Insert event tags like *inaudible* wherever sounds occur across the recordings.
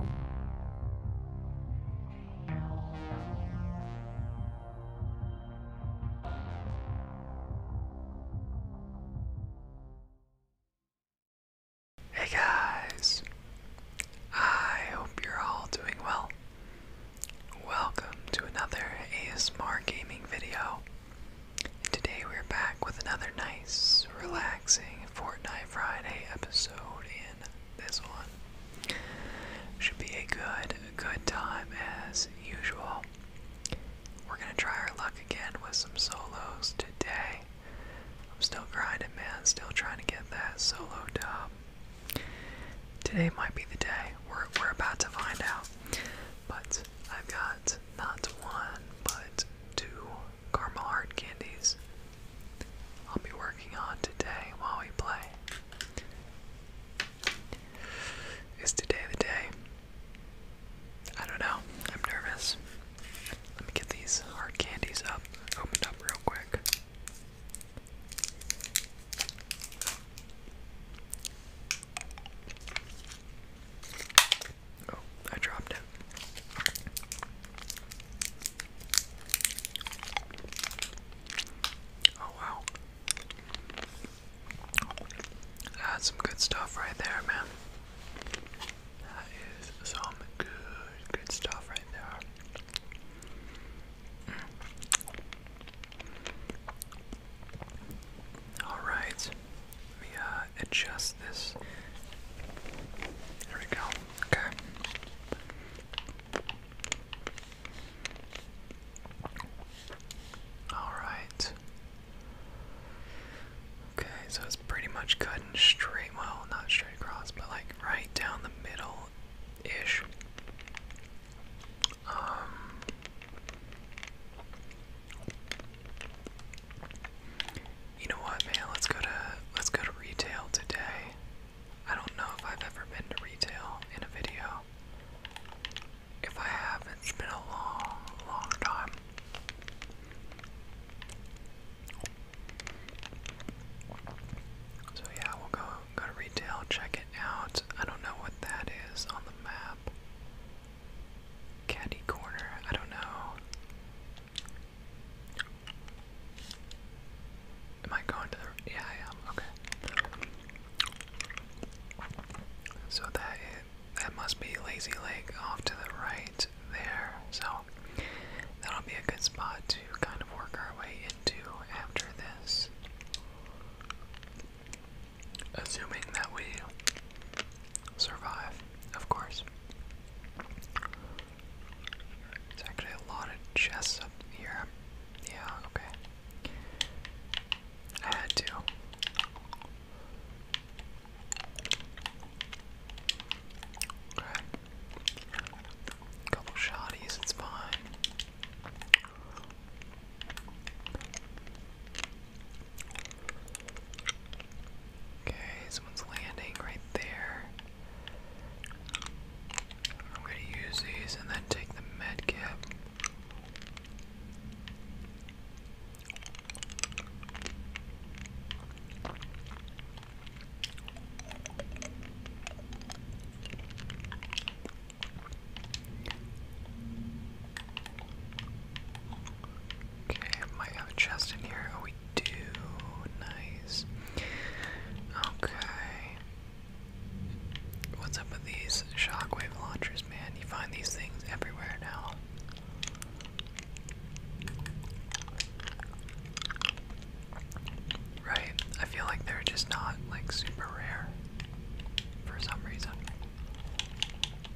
Hey guys, I hope you're all doing well. Welcome to another ASMR gaming video. And today we're back with another nice, relaxing Fortnite Friday episode this one. Should be a good, good time as usual. We're gonna try our luck again with some solos today. I'm still grinding, man. Still trying to get that solo dub. Today might be the day. We're we're about to find out. But I've got not one, but two caramel heart candies I'll be working on today while we play. Is today the day? I don't know. I'm nervous. Let me get these hard candies up, opened up real quick. Oh, I dropped it. Oh wow. That's some good stuff right there, man. That is some good, good stuff right there. Mm. All right. Let uh, adjust this. There we go. Okay. Alright. Okay, so it's pretty much cutting straight, well, not straight across, but like right down the middle ish. Um, you know what, man? Let's go to let's go to retail today. I don't know if I've ever been to retail in a video. If I have, it's been a long, long time. So yeah, we'll go go to retail, check it out. I don't know what that is on the map. Caddy corner, I don't know. Am I going to the. Yeah, I am. Okay. So that, is, that must be Lazy Lake off to the right there. So that'll be a good spot to kind of work our way into after this. Assuming that we survive, of course. There's actually a lot of chests up here. Yeah, okay. I had to. Okay. Couple shotties, it's fine. Okay, someone's landing right there. I'm going to use these and then take the med kit. Okay, might chest in here. Oh, we do. Nice. Okay. What's up with these shockwave launchers, man? You find these things everywhere now. Right? I feel like they're just not like super rare for some reason.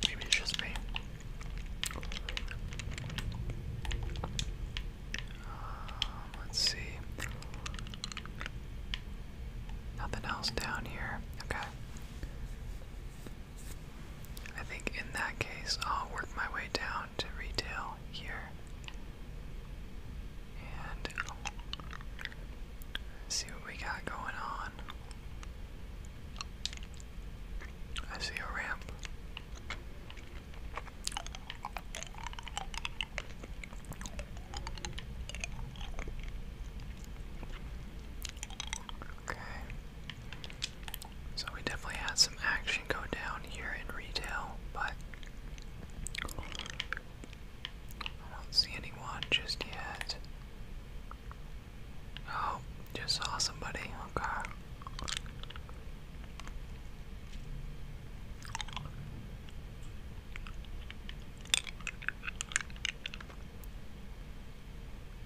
Maybe it's just me. Um, let's see. Nothing else down here. Okay. I think in that case, I'll work my way down to retail here. And see what we got going on. I see a ramp. Okay. So we definitely had some action go down here in retail, but I don't see anyone just yet. Oh, just saw somebody. Okay.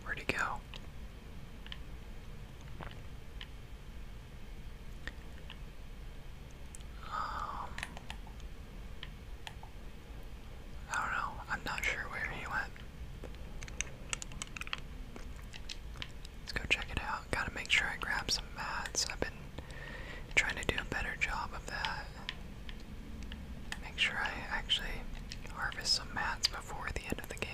Where'd he go? Um, I don't know. I'm not sure where he went. Let's go check it out. Gotta make sure I grab some mats. I've been trying to do a better job of that. Make sure I actually harvest some mats before the end of the game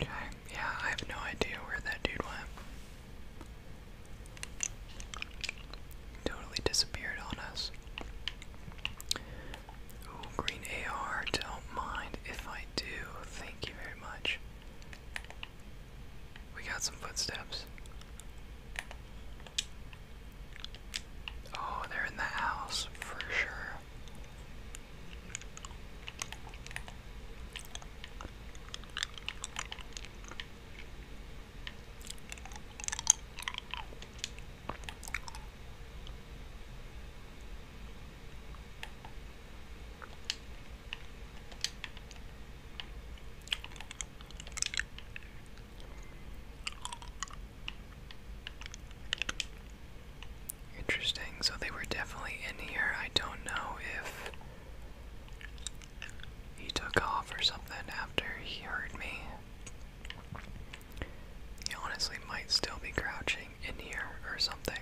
yeah, I have no idea where that dude went. Totally disappeared on us. Ooh, green AR, don't mind if I do. Thank you very much. We got some footsteps. Oh, they're in the house for sure. Interesting, so they were definitely in here. I don't know if he took off or something after he heard me. He honestly might still be crouching in here or something.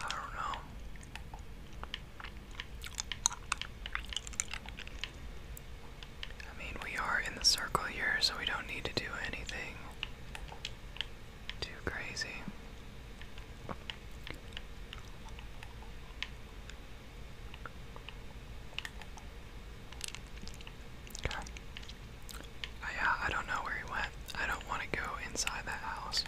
I don't know. I mean, we are in the circle here, so we don't need to do anything too crazy. Okay. Uh, I, don't know where he went. I don't want to go inside that house.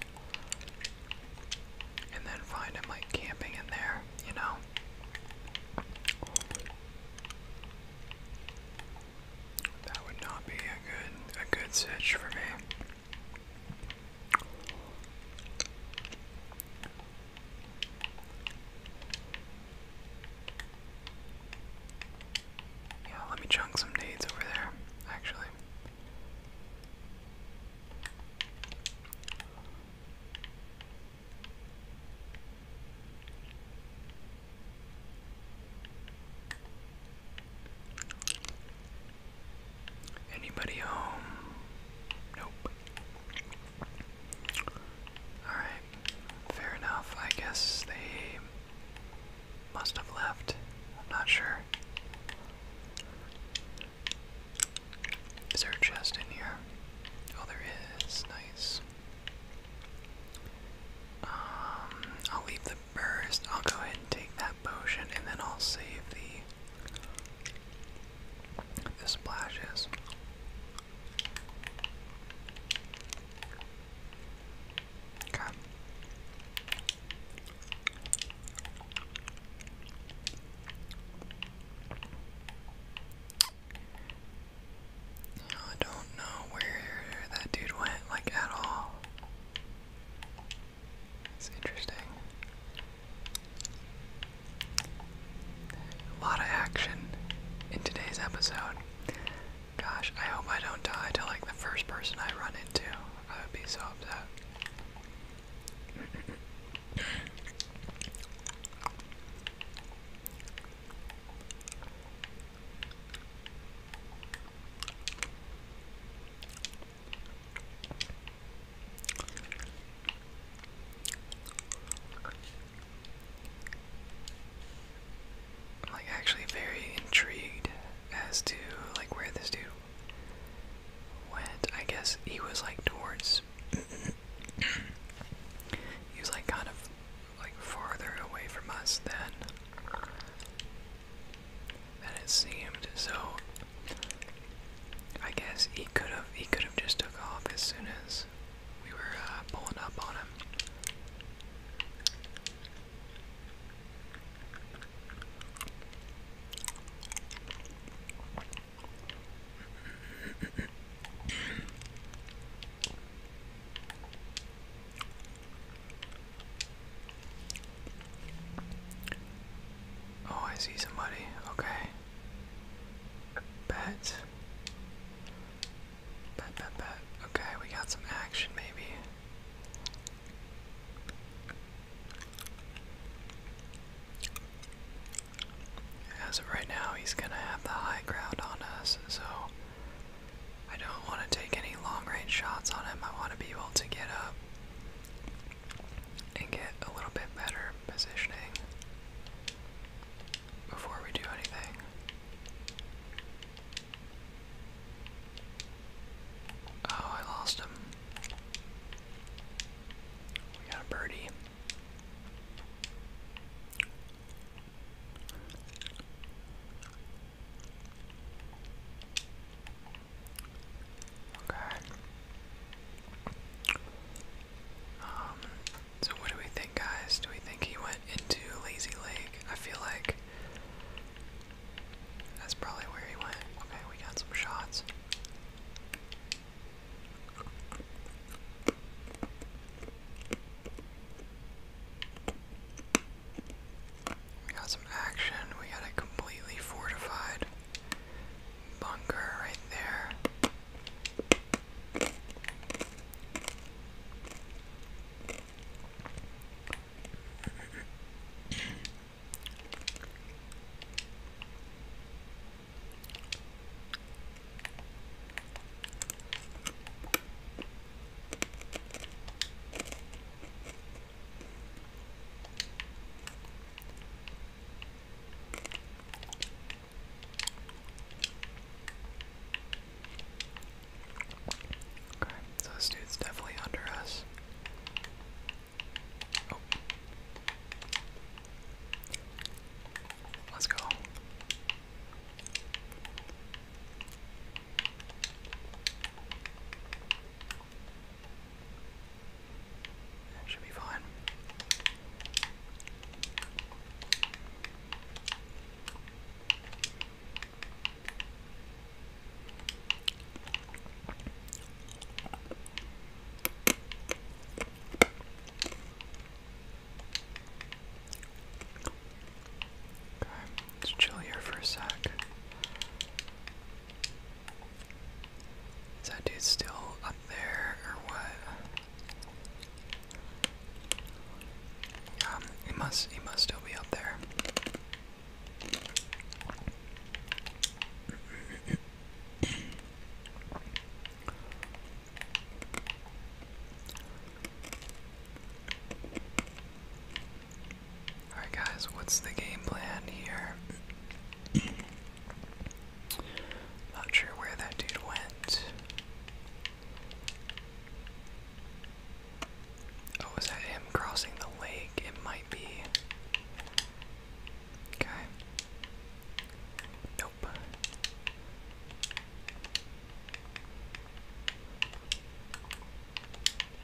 And then find him like camping in there, you know? That would not be a good a good sitch for me. Yeah, let me chunk some nades over there, actually. Anybody home? Nope. Alright, fair enough. I guess they must have left. I'm not sure. Is there a chest in here? Oh, there is. Nice. Um, I'll leave the burst. I'll go ahead and take that potion, and then I'll save the this splash is. I don't know where that dude went, like, at all. It's interesting. A lot of action in today's episode. Gosh, I hope I don't die to like the first person I run into. I would be so upset. I'm like actually very intrigued as to like where this dude went. I guess he was like towards *coughs* he was like kind of like farther away from us than than it seemed. So I guess he could have he could have just took off as soon as we were uh, pulling up on him. Oh, I see somebody. Okay. Bet. Bet, bet, bet. Okay, we got some action maybe. As of right now, he's gonna have the high ground on us, so I don't want to take any long range shots on him. I want to be able to get up and get a little bit better positioning before we do anything. Oh, I lost him. We got a birdie. Okay. Um, so what do we think, guys? Do we think he went into Lazy Lake? I feel like that's probably where he went. Okay, we got some shots. We got some action. We got it completely fortified bunker right there so this dude's definitely under us. Oh. Let's go. That should be fine. Okay, let's chill here for a sec. Is that dude still up there or what? Um, he must he must still be up there. Alright, guys, what's the game plan here? Not sure where that dude went. Oh, was that him crossing the lake? It might be. Okay. Nope.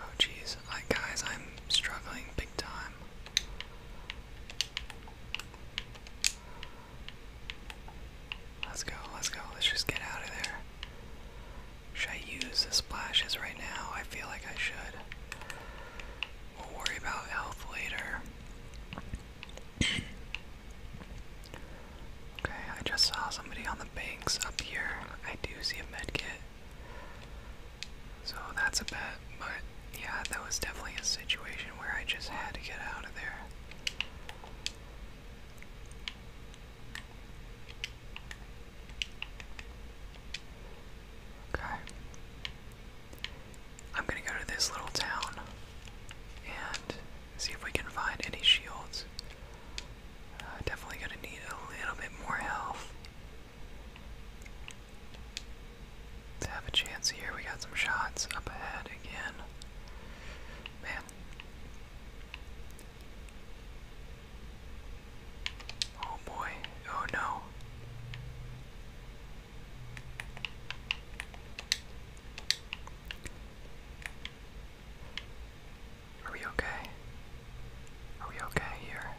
Oh jeez, I guys, I'm struggling big time. Let's go, let's go, let's just get out of there. Should I use the splashes right now? I feel like I should. We'll worry about health later. *coughs* okay, I just saw somebody on the banks up here. I do see a medkit. So that's a bet, but yeah, that was definitely a situation where I just had to get out of there. Okay. I'm gonna go to this little town and see if we can find any shields. Uh, definitely gonna need a little bit more health let have a chance here. We got some shots up ahead again. Man. Oh boy. Oh no. Are we okay? Are we okay here?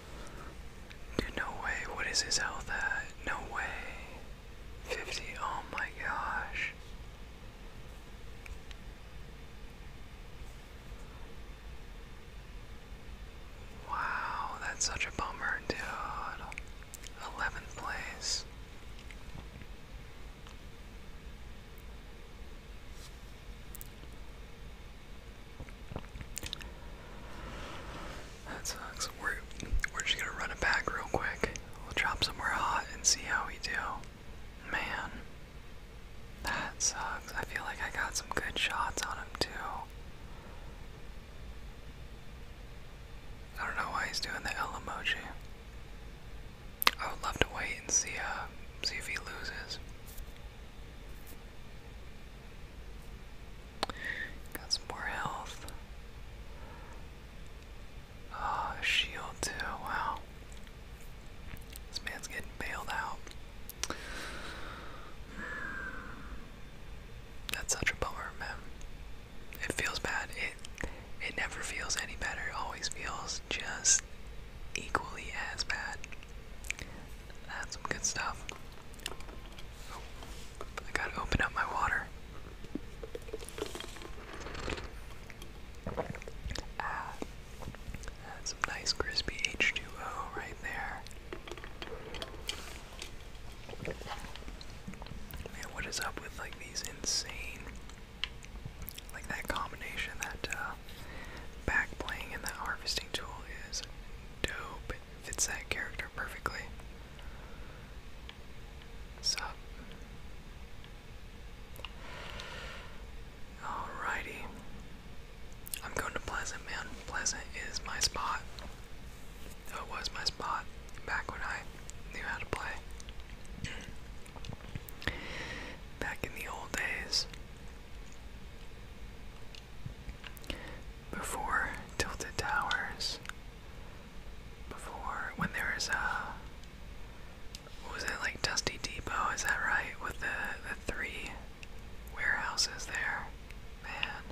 no way. What is his health at? No way. 50. Oh my gosh. Wow, that's such a bummer, dude. 11th place. That sucks. We're we're just gonna run it back real quick. We'll drop somewhere hot and see how we do. Man, that sucks. I feel like I got some good shots on him too. I don't know why he's doing the L emoji. I would love to wait and see uh see if he loses. Got some more health. Oh, shield too, wow. This man's getting bailed out. That's such a bummer, man. It feels bad. It it never feels any better. It always feels just equally as bad. That's some good stuff. I gotta open up my water. that's ah. some nice crispy H2O right there. Man, what is up with like these insane, like that combination, that uh, back playing and that harvesting tool is dope fits that character perfectly. Sup? Alrighty. I'm going to Pleasant, man. Pleasant is my spot. It was my spot back when I knew how to play. back in the old days. Before Tilted Towers, before when there a uh, was it like Dusty Depot? Is that right? With the the three warehouses there, man.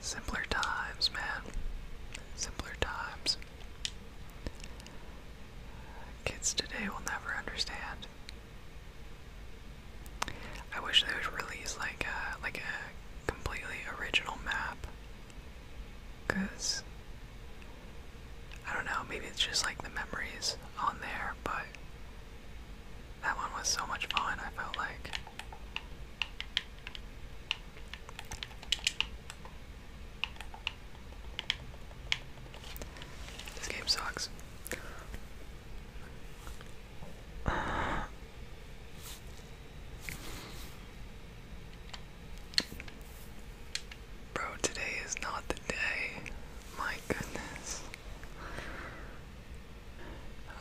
Simpler times, man. Simpler times. Kids today will never understand. I wish they would release like a like a completely original map. Cause I don't know, maybe it's just like the memories on there, but that one was so much fun, I felt like. This game sucks. Bro, today is not the day. My goodness.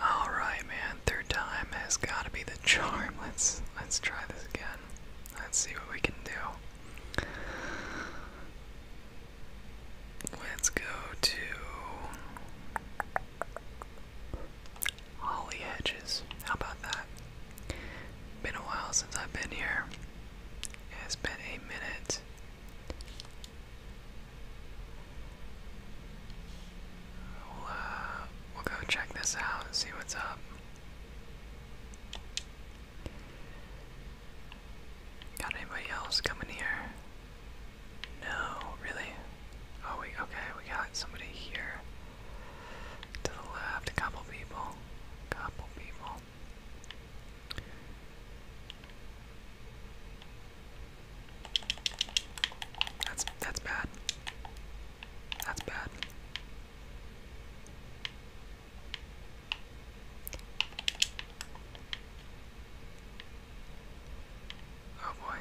Alright man, third time has gotta be the charm. Let's let's try this again. Let's see what we can do. Let's go to Holly Hedges. How about that? Been a while since I've been here. It's been a minute. We'll, uh, we'll go check this out and see what's up. Got anybody else coming here? No, really? Oh, we okay, we got somebody here. To the left, a couple people. Couple people. That's that's bad. That's bad. Oh boy.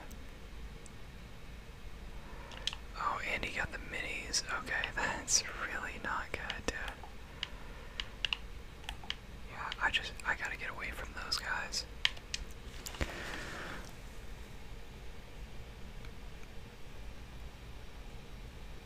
Oh, and he got the minis. Okay, *laughs* that's really not good, dude. Yeah, I just I gotta get away from those guys.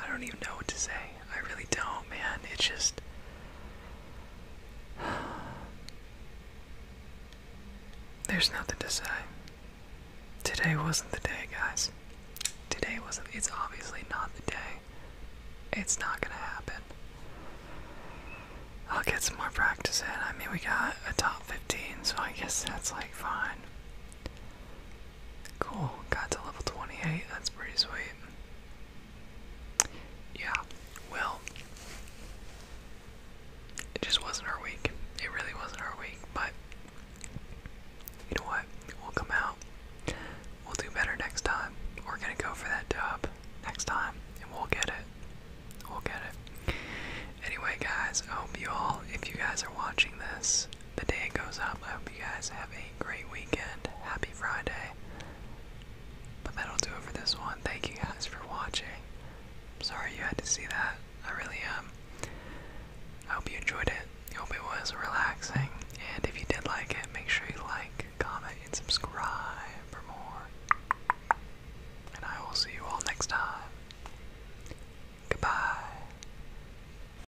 I don't even know what to say. I really don't, man. It's just. *sighs* There's nothing to say. Today wasn't the day, guys. Today wasn't. It's obviously not the day. It's not gonna happen. I'll get some more practice in. I mean, we got a top 15, so I guess that's like fine. Cool, got to level 28, that's pretty sweet. Yeah, well, it just wasn't our week. It really wasn't our week, but you know what? We'll come out, we'll do better next time. We're gonna go for that dub next time, and we'll get it. We'll get it. Anyway, guys, I hope you all, if you guys are watching this, the day goes up. I hope you guys have a great weekend. Happy Friday. But that'll do it for this one. Thank you guys for watching. sorry you had to see that. I really am. Um, hope you enjoyed it. hope it was relaxing. And if you did like it, make sure you like, comment, and subscribe for more. And I will see you all next time. Goodbye.